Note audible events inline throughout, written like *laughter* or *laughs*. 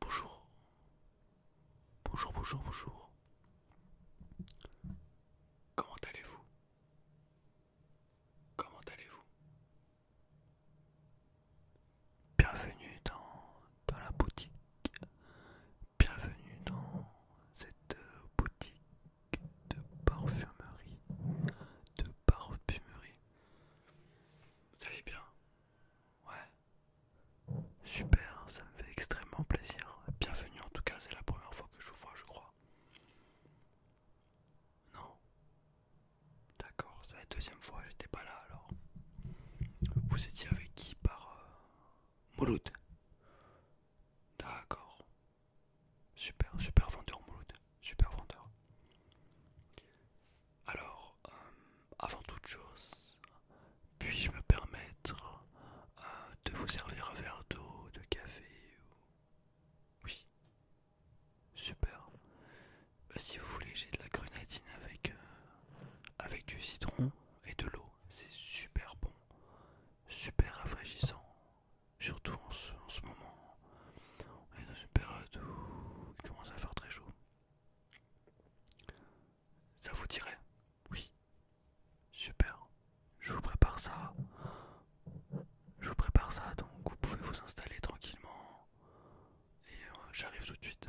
Bonjour. Bonjour, bonjour, bonjour. Comment allez-vous Comment allez-vous Bienvenue dans, la boutique. Bienvenue dans cette euh, boutique de parfumerie. De parfumerie. Vous allez bien Ouais. Super, ça me fait extrêmement plaisir. Bienvenue en tout cas, c'est la première fois que je vous vois, je crois. Non. D'accord, c'est la deuxième fois, j'étais pas là alors. Vous étiez avec qui par euh, D'accord, Super, super vendeur Mouloud, super vendeur. Alors, euh, avant toute chose, puis-je me permettre euh, de vous servir un verre d'eau, de café Oui, super. Euh, si vous voulez, j'ai de la grenadine avec, avec du citron et de l'eau. C'est super bon, super rafraîchissant. Surtout en ce, moment, on est dans une période où il commence à faire très chaud. Ça vous dirait Oui. Super. Je vous prépare ça. Je vous prépare ça, donc vous pouvez vous installer tranquillement. Et euh, j'arrive tout de suite.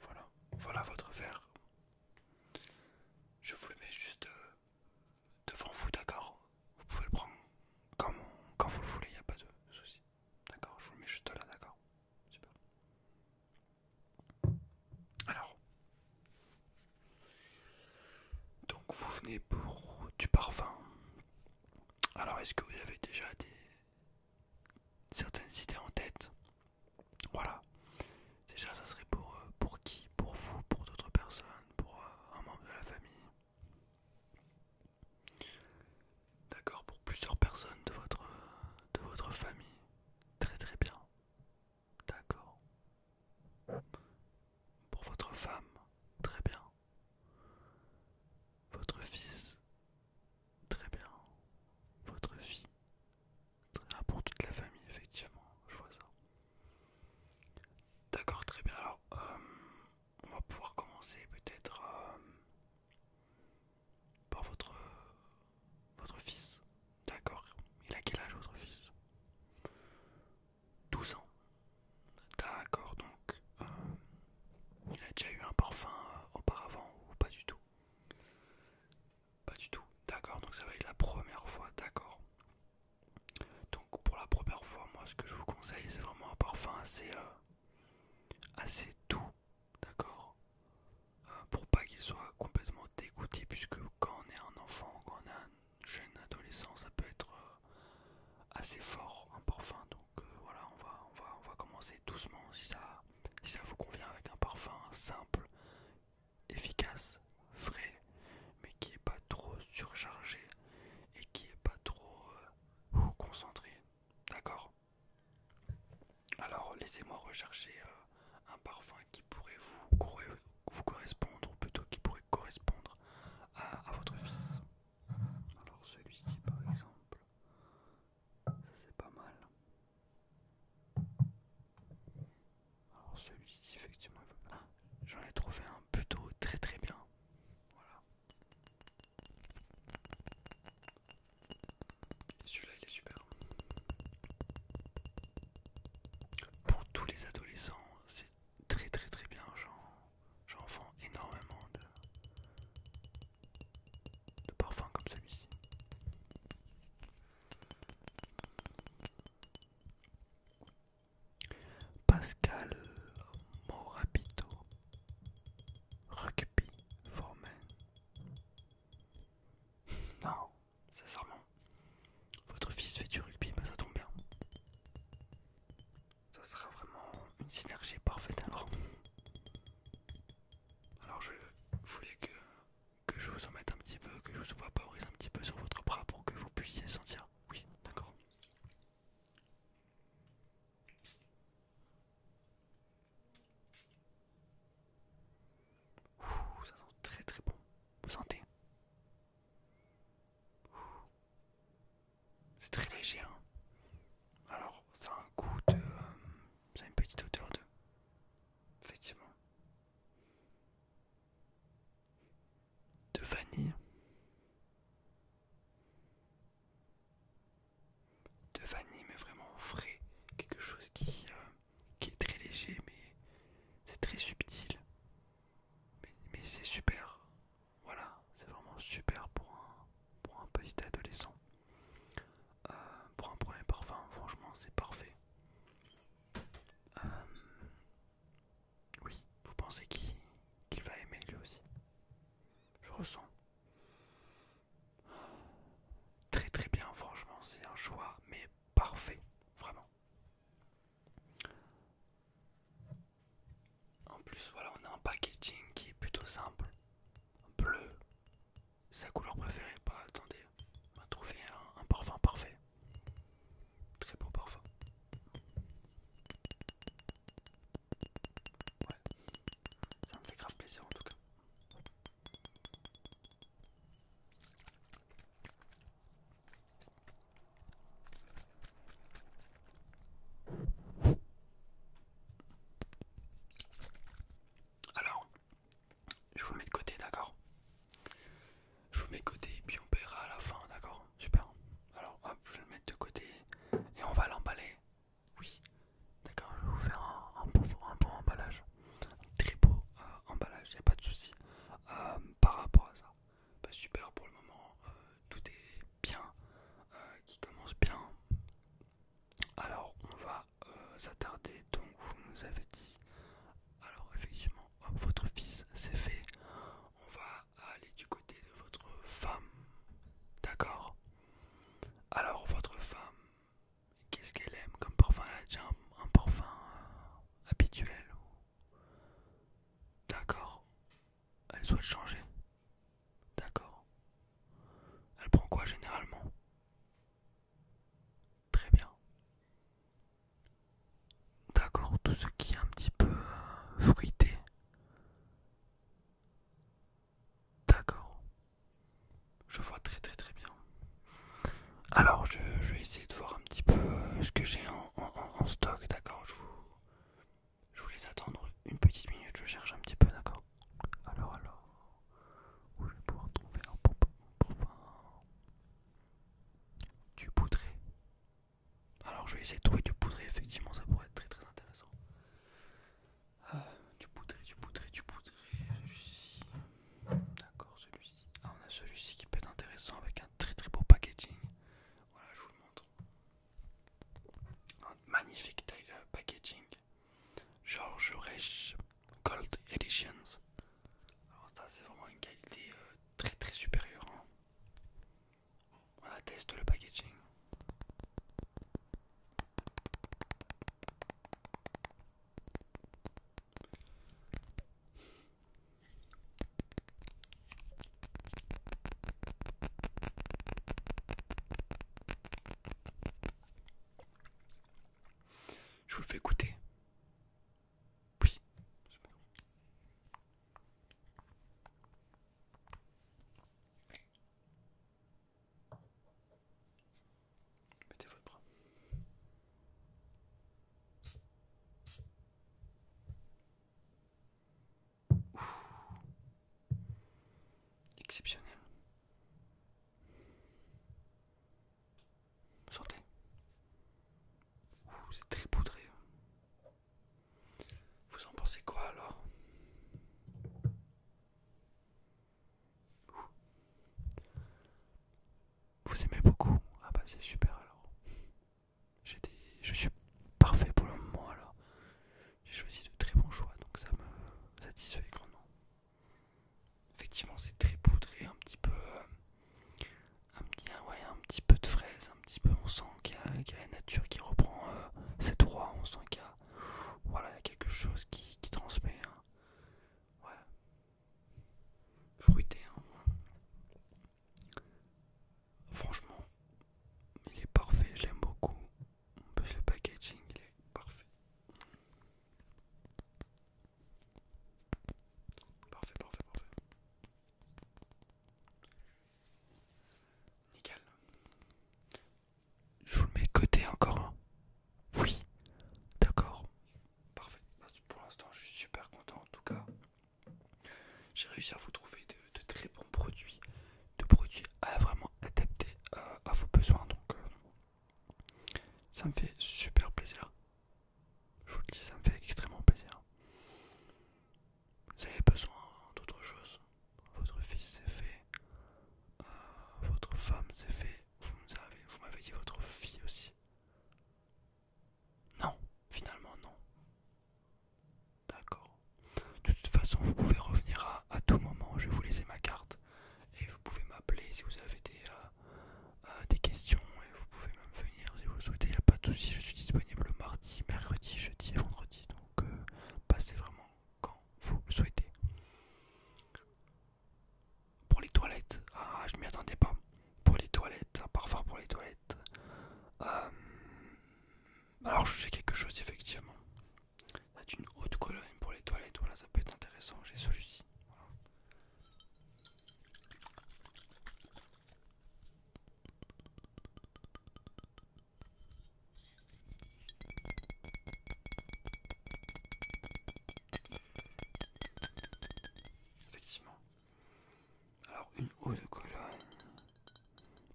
Voilà, voilà votre verre. Je vous le mets juste euh, devant vous, d'accord Vous pouvez le prendre quand, vous le voulez, il n'y a pas de souci. D'accord, je vous le mets juste là, d'accord Alors, donc vous venez pour du parfum. Alors, est-ce que vous avez déjà des certaines idées en tête voilà. Déjà, ça serait pour, euh, pour qui Pour vous, pour d'autres personnes, pour euh, un membre de la famille. D'accord, pour plusieurs personnes de votre, euh, de votre famille. Très très bien. D'accord. Pour votre femme, très bien. Votre fils, Très bien. Votre vie. pour toute la famille, effectivement. Je vois ça. D'accord, très bien. Alors, euh, on va pouvoir commencer peut-être euh, par votre, votre fils. D'accord. Il a quel âge votre fils 12 ans. D'accord, donc euh, il a déjà eu un parfum auparavant ou pas du tout pas du tout. D'accord, donc ça va être la première fois, d'accord. Donc pour la première fois, moi ce que je vous conseille, c'est vraiment un parfum assez, euh, assez doux, d'accord euh, Pour pas qu'il soit complètement dégoûté, puisque quand on est un enfant, quand on est un jeune adolescent, ça peut être euh, assez fort un parfum. Donc voilà, on va, on, va, on va commencer doucement si ça, si ça vous convient avec un parfum simple, efficace, frais, mais qui n'est pas trop surchargé et qui n'est pas trop euh, concentré. D'accord Alors laissez-moi rechercher euh, un parfum qui pourrait vous, correspondre, ou plutôt qui pourrait correspondre à votre fils. Alors celui-ci par exemple. Ça c'est pas mal. Alors celui-ci effectivement ah, j'en ai trouvé un plutôt très très bien. Voilà. Celui-là il est super. Pour tous les adolescents, c'est très très très bien. J'en vends énormément de, de parfum comme celui-ci. Pascal Morabito, Rugby formé. *laughs* Non, sincèrement, votre fils fait du rugby, bah ça tombe bien. Ça sera vraiment une synergie parfaite alors. Alors je voulais que, que je vous en mette un petit peu, que je vous vaporise un petit peu sur votre bras pour que vous puissiez sentir. Oui, d'accord. ça sent très très bon. Vous sentez C'est très léger. Hein alors, ça a un goût de. Euh, ça a une petite odeur de. Effectivement. De vanille. De vanille, mais vraiment frais. Quelque chose euh, qui, est très léger, mais c'est très subtil. Mais, mais c'est super. Voilà, c'est vraiment super pour un, pour un petit adolescent. Euh, pour un premier parfum, franchement, c'est parfait. Euh, oui, vous pensez qu'il va aimer lui aussi Je ressens. Très très bien, franchement, c'est un choix, mais parfait, vraiment. En plus, voilà, on a un packaging qui est plutôt simple bleu, sa couleur préférée. pas bah, attendez, on va trouver un, parfum parfait. Très bon parfum. ça me fait grave plaisir en tout cas. Alors, je vous mets de côté, d'accord Je vous mets de côté et puis on paiera à la fin, d'accord Super. Alors, hop, je vais le mettre de côté et on va l'emballer. Oui, d'accord, je vais vous faire un, bon, emballage. Un très beau euh, emballage, il pas de souci euh, par rapport à ça. super pour le moment, euh, tout est bien, euh, qui commence bien. Alors on va euh, s'attarder, donc vous nous avez dit, alors effectivement, votre fils c'est fait, on va aller du côté de votre femme, d'accord Alors votre femme, qu'est-ce qu'elle aime comme parfum Elle a déjà un, parfum euh, habituel D'accord, elle souhaite changer. D'accord. Elle prend quoi généralement Très bien. D'accord, tout ce qui est un petit peu euh, fruité. D'accord. Je vois très très très bien. Alors je, vais essayer de voir un petit peu euh, ce que j'ai en, stock, d'accord je vous, je vous attendre une petite minute, je cherche un petit peu, d'accord Alors, alors, où je vais pouvoir trouver un Du poudré. Alors, je vais essayer de trouver du poudré, effectivement, ça pourrait être très très intéressant. Euh, du poudré, du poudré, du poudré, celui-ci. D'accord, celui-ci. Ah, on a celui-ci qui peut être intéressant avec un très très beau packaging. Voilà, je vous le montre magnifique euh, packaging. George Reich Gold Editions. ça c'est vraiment une qualité euh, très très supérieure. On hein. On atteste le packaging. Je vous fais écouter. Oui. Mettez votre bras. Exceptionnel. Sortez. C'est très poudré. Hein. Vous en pensez quoi alors Vous aimez beaucoup Ah bah c'est super alors. Je suis parfait pour le moment alors. J'ai choisi de très bons choix donc ça me satisfait grandement. Effectivement c'est très poudré, un petit peu... Euh, un petit, ah un petit peu de fraise, un petit peu on sent qu'il y, a la nature qui reprend euh, ses droits, on sent qu'il y, voilà, a quelque chose qui, qui transmet. Fruité. Hein. Franchement, il est parfait, je l'aime beaucoup. En plus, le packaging, il est parfait. Parfait, parfait, parfait. Nickel. Je vous le mets côté encore un. Hein. Oui, d'accord. Parfait. Bah, pour l'instant, je suis super content en tout cas j'ai réussi à vous trouver de, très bons produits, de produits à vraiment adaptés euh, à, vos besoins. Donc, euh, ça me fait super plaisir. Je vous le dis, ça me fait extrêmement plaisir. Vous avez besoin d'autre chose. Votre fils s'est fait, euh, votre femme s'est fait. Vous m'avez dit votre fille aussi. Non, finalement non. D'accord. De toute façon, vous pouvez revenir à, tout moment. Je vais vous laisser ma carte et vous pouvez m'appeler si vous avez des, euh, euh, questions et vous pouvez même venir si vous le souhaitez. Il n'y a pas de souci. Je suis disponible mardi, mercredi, jeudi et vendredi. Donc, euh, passez vraiment quand vous le souhaitez. Pour les toilettes, ah, je m'y attendais pas. Pour les toilettes, parfois pour les toilettes. Euh, alors j'ai quelque chose effectivement. C'est une haute colonne pour les toilettes, voilà ça peut être intéressant, j'ai celui-ci. Effectivement. Alors une eau de colonne,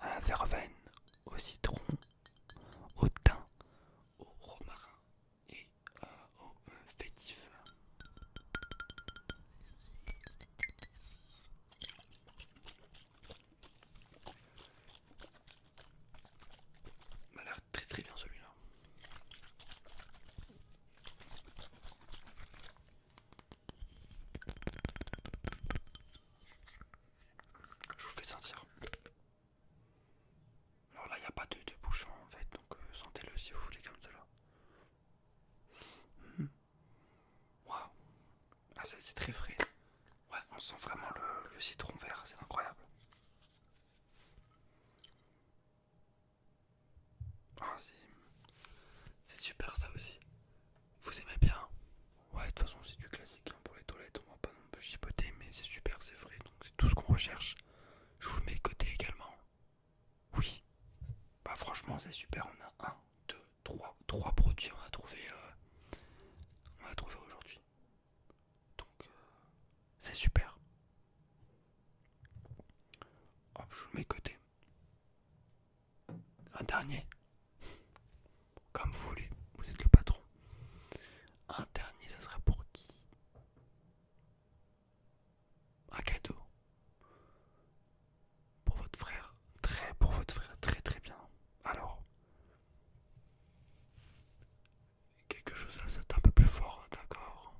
à la verveine, au citron, au thym, au romarin et euh, au euh, fétif. Il m'a l'air très très bien celui-là. Je vous fais sentir. Alors là, il n'y a pas de, bouchon en fait, donc euh, sentez-le si vous voulez comme cela. Hmm. Waouh! Ah, c'est très frais. Ouais, on sent vraiment le, citron vert, c'est incroyable. Ah, c'est super ça aussi. Vous aimez bien Ouais, de toute façon, c'est du classique hein, pour les toilettes. On va pas non plus chipoter, mais c'est super, c'est vrai. Donc, c'est tout ce qu'on recherche. Je vous mets côté également. Oui. Bah, franchement, c'est super. On a un, deux, trois, trois produits. On a trouvé, euh, on a trouvé aujourd'hui. Donc, euh, c'est super. Hop, je vous mets côté. Un dernier. Comme vous voulez, vous êtes le patron. Un dernier, ça sera pour qui Un cadeau. Pour votre frère. Très, pour votre frère. Très, très bien. Alors. Quelque chose à c'est un peu plus fort, hein, d'accord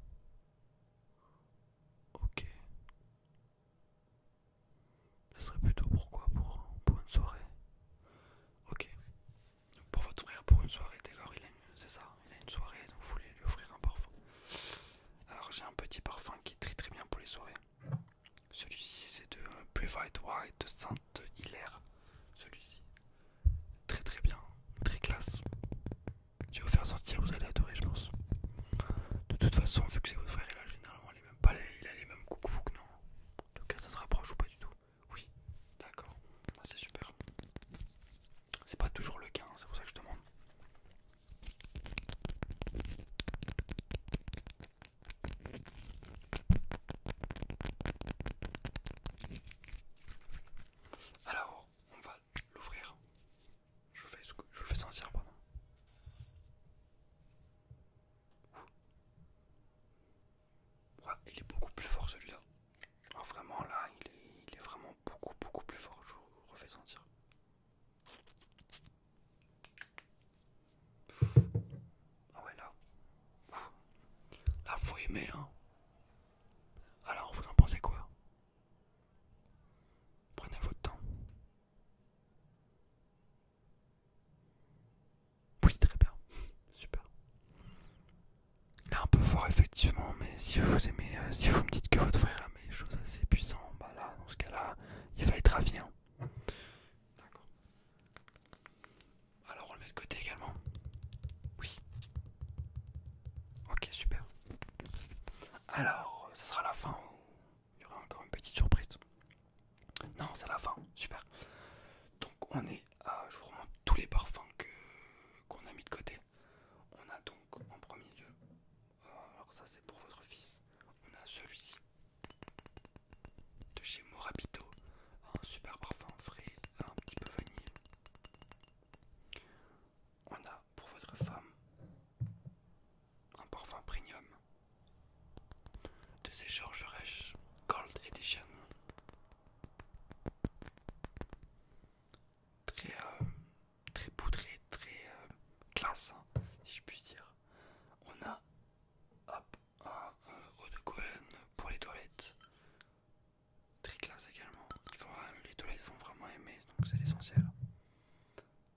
Ok. Ce serait plutôt pourquoi pour, pour une soirée Ok. pour votre frère, pour une soirée, d'accord, il a une. C'est ça, il a une soirée, donc vous voulez lui offrir un parfum. Alors j'ai un petit parfum qui est très très bien pour les soirées. Celui-ci c'est de euh, Private White de Sant hilaire Celui-ci. Très très bien, très classe. Je vais vous faire sortir, vous allez adorer, je pense. De toute façon, vu que c'est votre frère, il a généralement les mêmes pas il a les mêmes coups que non En tout cas, ça se rapproche ou pas du tout Oui, d'accord, ah, c'est super. C'est pas toujours le cas, hein, c'est pour ça que je demande. Alors, on va l'ouvrir. Je vous fais, je fais sentir, pardon. il est beaucoup plus fort celui-là. Ah, vraiment là, il est, vraiment beaucoup beaucoup plus fort. Je vous refais sentir. Ah ouais là. faut hein. Alors vous en pensez quoi Prenez votre temps. Oui, très bien. Super. Là, un peu fort, effectivement, mais si vous aimez, euh, si vous me dites que votre frère a des choses assez puissantes, bah là, dans ce cas-là, il va être ravi. Hein. D'accord. Alors, on le met de côté également. Oui. Ok, super. Alors, ça sera la fin. Il y aura encore une petite surprise. Non, c'est la fin. Super. Donc, on est à. Je vous remonte tous les parfums qu'on a mis de côté. On a donc en premier lieu. Euh, alors, ça, c'est pour votre fils. On a celui-ci de chez Morabito. Un super parfum frais, un petit peu vanille on a pour votre femme un parfum premium de ces Georges Gold Edition. Très, euh, très poudré, très euh, classe, hein, si je puis dire. On a hop, un eau de Cohen pour les toilettes. Très classe également. les toilettes vont vraiment aimer, donc c'est l'essentiel.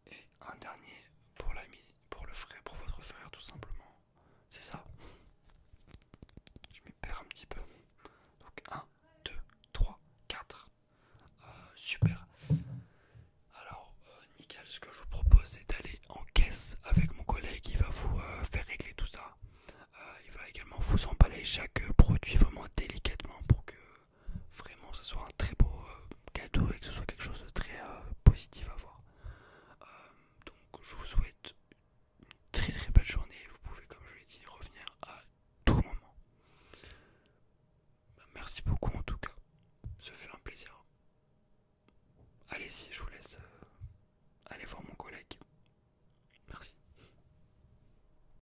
Et un dernier pour l'ami, pour le frère, pour votre frère tout simplement. C'est ça. Je m'y perds un petit peu. Donc 1, 2, 3, 4. super. Alors, euh, nickel, ce que je vous propose c'est d'aller en caisse avec mon collègue il va vous euh, faire régler tout ça. Euh, il va également vous emballer chaque produit vraiment délicatement pour que vraiment ce soit un très beau euh, cadeau et que ce soit quelque chose de très euh, positif à voir. Euh, donc je vous souhaite une très très belle journée. Vous pouvez, comme je l'ai dit, revenir à tout moment. Bah, merci beaucoup en tout cas. Ce fut un plaisir. allez si je vous laisse aller voir mon collègue. Merci.